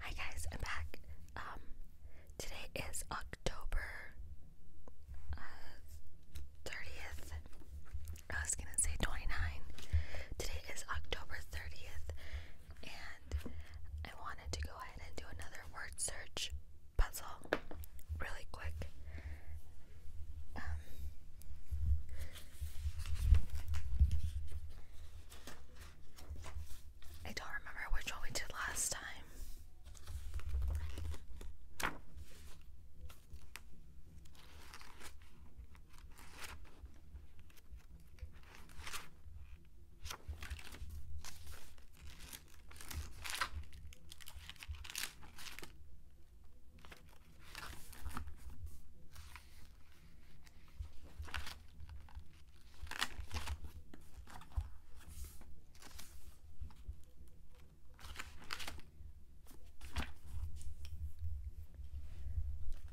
Hi guys, I'm back. Um, today is October uh, thirtieth. I was gonna say twenty-nine. Today is October thirtieth, and I wanted to go ahead and do another word search puzzle, really quick. Um, I don't remember which one we did last time.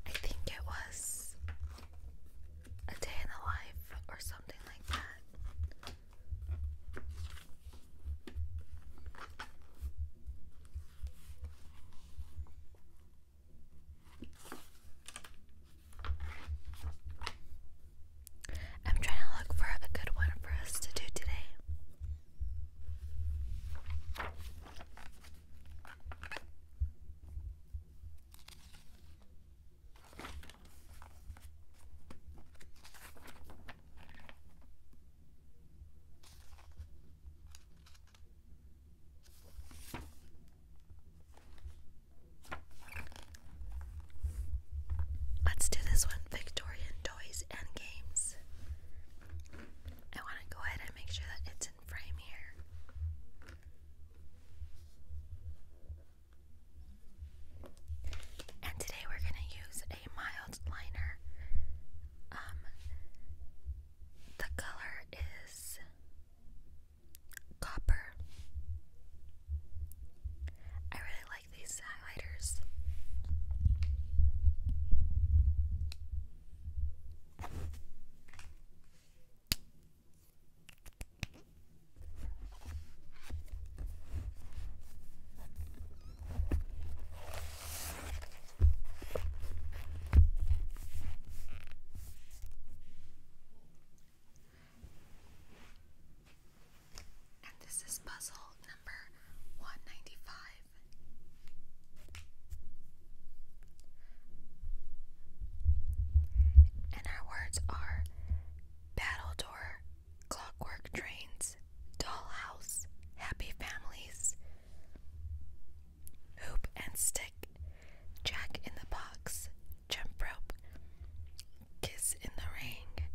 I think it was a day in the life or something like that. I'm trying to look for a good one for us to do today. Let's do this one Victorian toys and games. I want to go ahead and make sure that it's in frame here. And today we're going to use a mild liner. Um, the color is Copper. I really like these highlighters. And this is puzzle number 195. And our words are battledore, clockwork trains, dollhouse, happy families, hoop and stick, jack in the box, jump rope, kiss in the ring,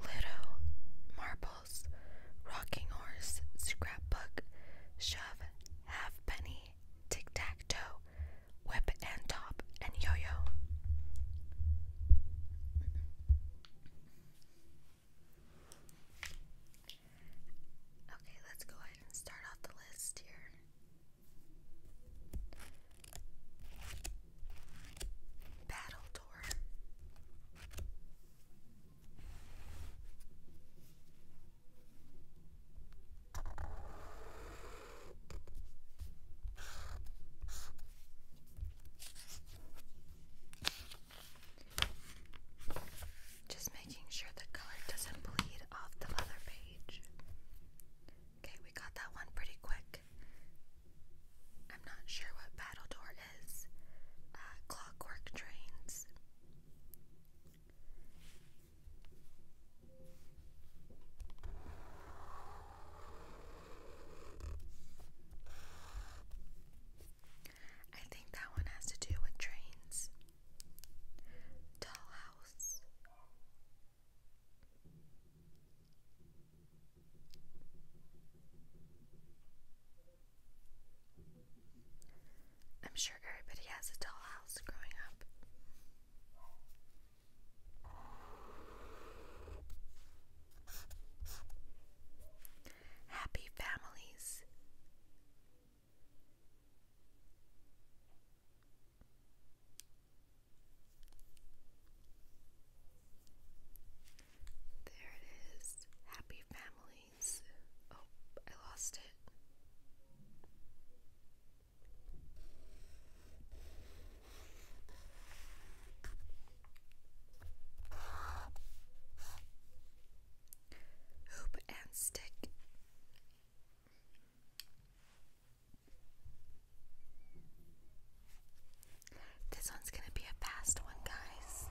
Ludo, marbles, rocking horse, scrapbook, shove, halfpenny, tic tac toe, whip and top, and yo yo. Okay, let's go ahead and start off the list here. Battle Tour. Just making sure the color doesn't bleed off the other page. Okay, we got that one pretty quick. I'm not sure what Battledore is. Uh, clockwork trains. I think that one has to do with trains. Dollhouse. I'm sure everybody has a house growing up. Happy families. There it is. Happy families. Oh, I lost it. Hoop and stick. This one's going to be a fast one, guys.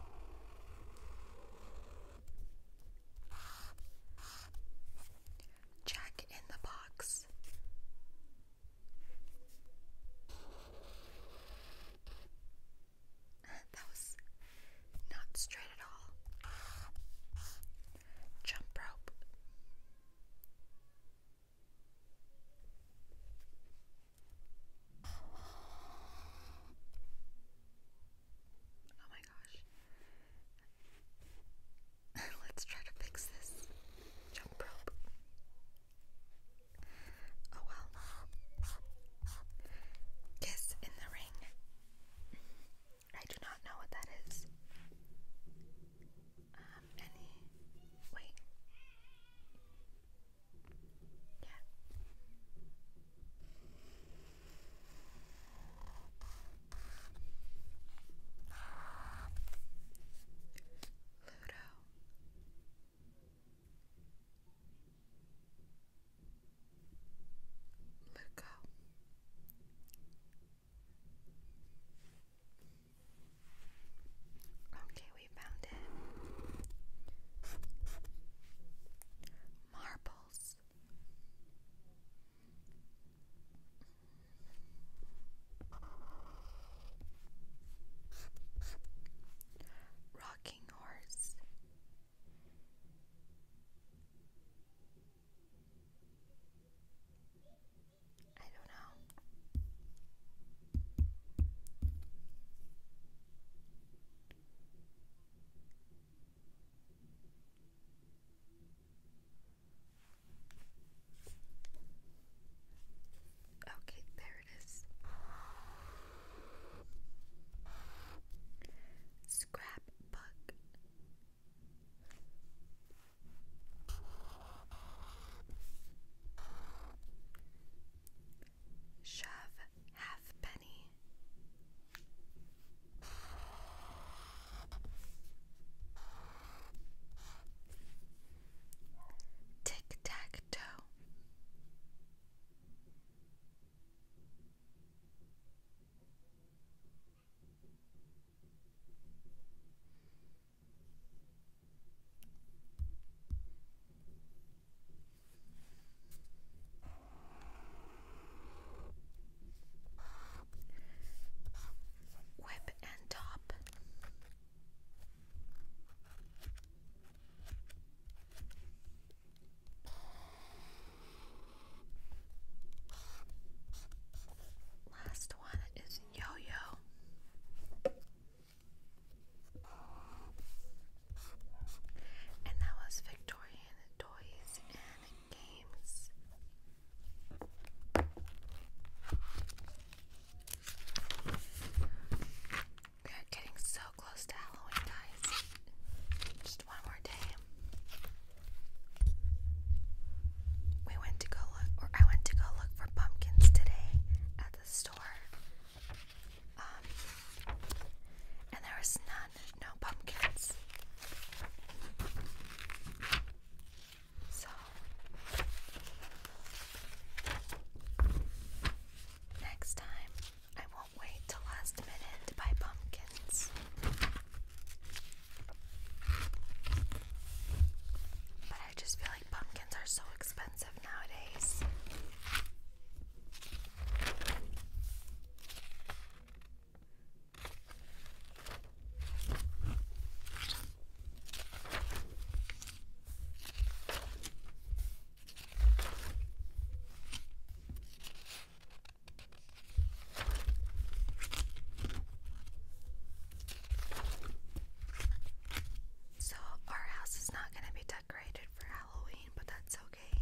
Jack in the box that was not straight at all. Jump rope. Oh my gosh. Let's try to fix this. Jump rope. Oh well. Kiss in the ring. I do not know what that is. Um, any. Wait. Yeah. Ludo. Let go. Okay, we found it. Marbles. Rocking horse. I don't know. Okay, there it is. Scrap Shove halfpenny. Tic tac toe. Whip and top. Last one is yo yo, and that was Victorian toys and games. We are getting so close to Halloween, guys. Just one more day. We went to go look, I went to go look for pumpkins today at the store. Um, and there was none, no pumpkins. So, next time I Wait Till Last Minute by Pumpkins. But I just feel like pumpkins are so expensive nowadays. So, our house is not going to be decorated for Halloween, but that's okay.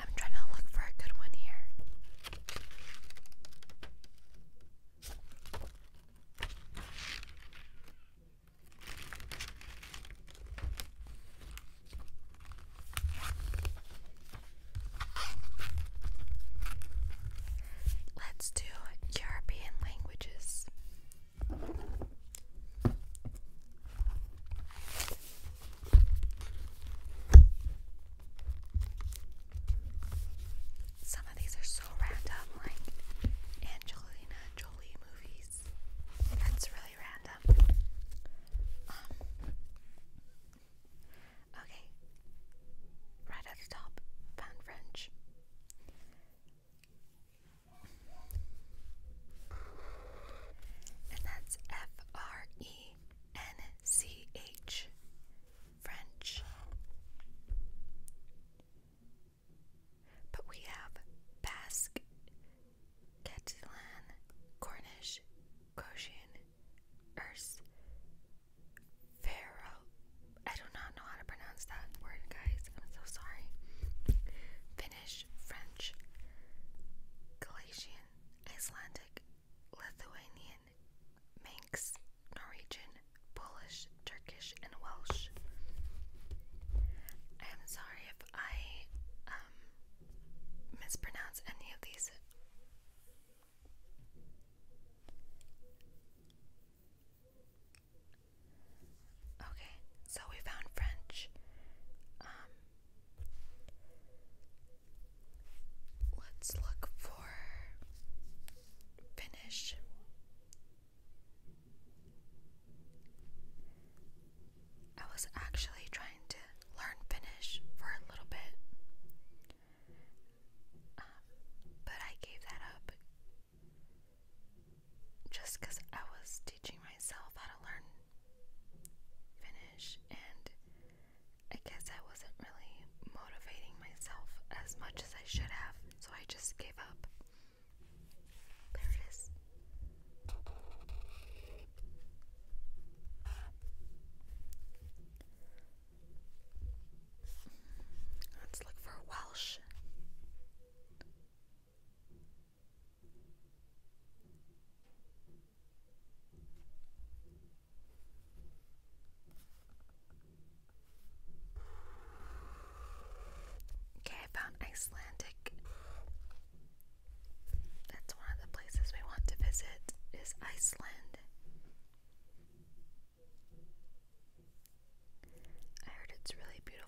I'm trying to look for a good one here. Let's do European languages. Some of these are so random, like Angelina Jolie movies. That's really random. Um, okay, right at the top, found French. And that's F R E N C H. French. But we have Basque, Catalan, Cornish, Cochin, Erse, Pharaoh. I do not know how to pronounce that word, guys. I'm so sorry. Finnish, French, Galician, Icelandic, Lithuanian, Manx, Norwegian, Polish, Turkish, and Welsh. I am sorry if I um, mispronounce any of these. Okay, so we found French. Um, Let's look for finish. I was actually trying to learn Finnish for a little bit, um, but I gave that up just because I was teaching myself how to learn Finnish, and I guess I wasn't really motivating myself as much as I should have, so I just gave up. There it is. Let's look for Welsh. Okay, I found Icelandic. That's one of the places we want to visit is Iceland. I heard it's really beautiful.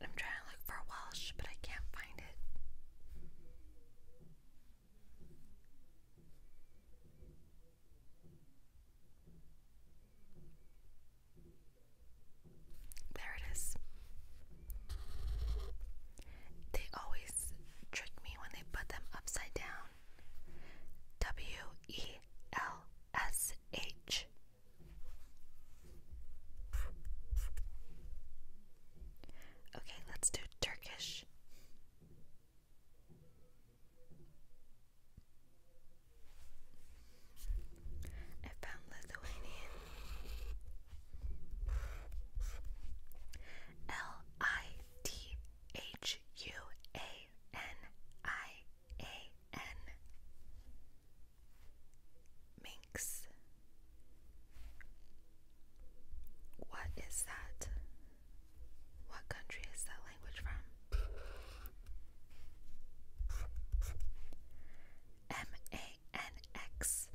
I'm trying to look for Welsh, but I can't find it. There it is. They always trick me when they put them upside down. W E L S H Okay, let's do Turkish. I found Lithuanian. L I T H U A N I A N Minx. What is that? What country is that language from? M A N X.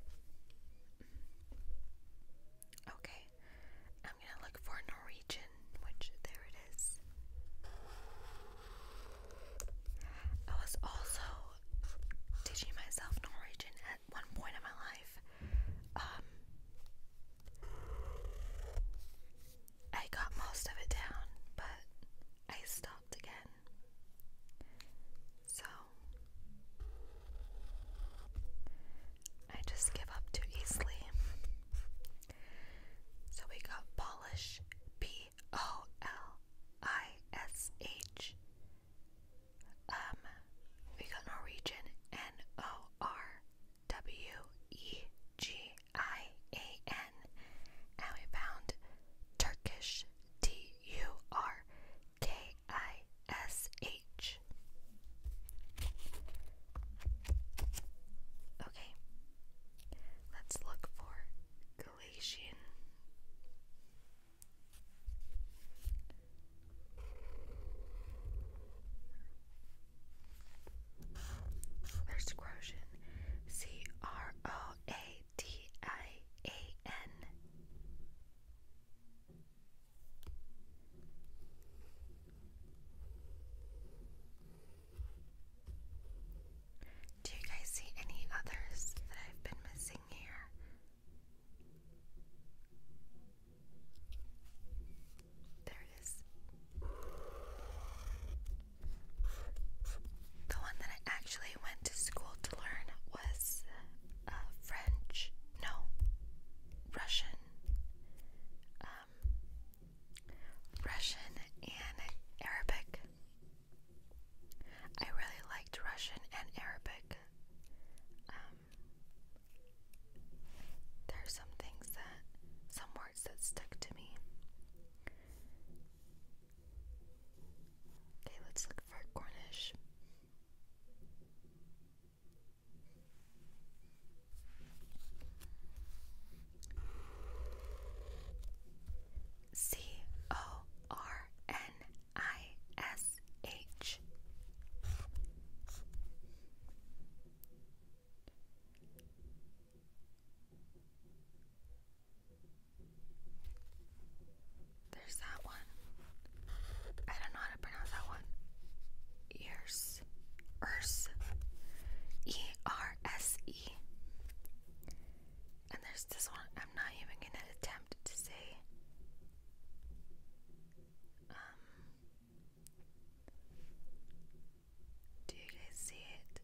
Okay, I'm gonna look for Norwegian, which there it is. I was also teaching myself Norwegian at one point in my life. Um, I got most of it down, but I stopped again. So I just give up too easily. So we got Polish B O L I S H. Um, we got Norwegian N O R W E G I A N. And we found Turkish T U R K I S H. Okay, let's look for isolation. There's Croatian, C R O A D I A N. Do you guys see any others that I've been missing here? There it is. The one that I actually went to school to learn was uh, French. No, Russian. Um, Russian and Arabic. I really liked Russian and Arabic. Um, there are some things that, some words that stuck to me. Okay, let's look for Cornish. C O R N I S H. There's that one. I don't know how to pronounce that one. Ears. Ers. E R S E. And there's this one I'm not even gonna attempt to say. Um, do you guys see it?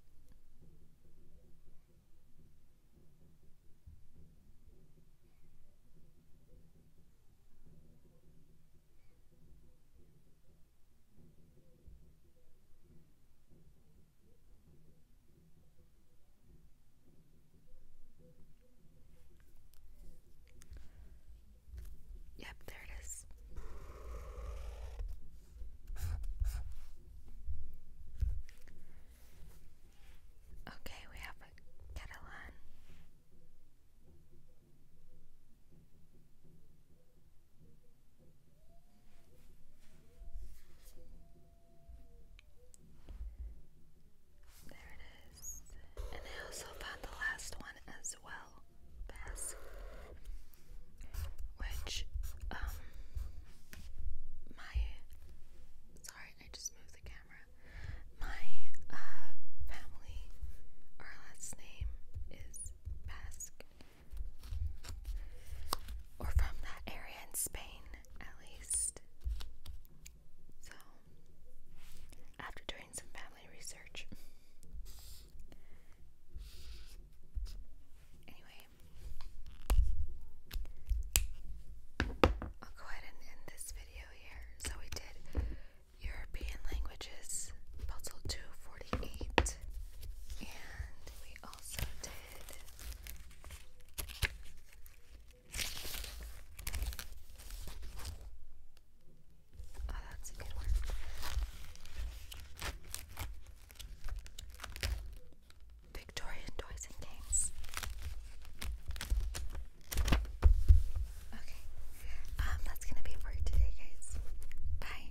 Yep, there it is. Okay, we have a Catalan. There it is. And I also found the last one as well, Bass. Which, um, my. Sorry, I just moved the camera. My, uh, family, our last name is Basque or from that area in Spain, at least. So, after doing some family research, anyway, I'll go ahead and end this video here. So, we did European languages puzzle 248, and we also Oh, that's Victorian Toys and Games. Okay. Um, that's gonna be for today, guys. Bye.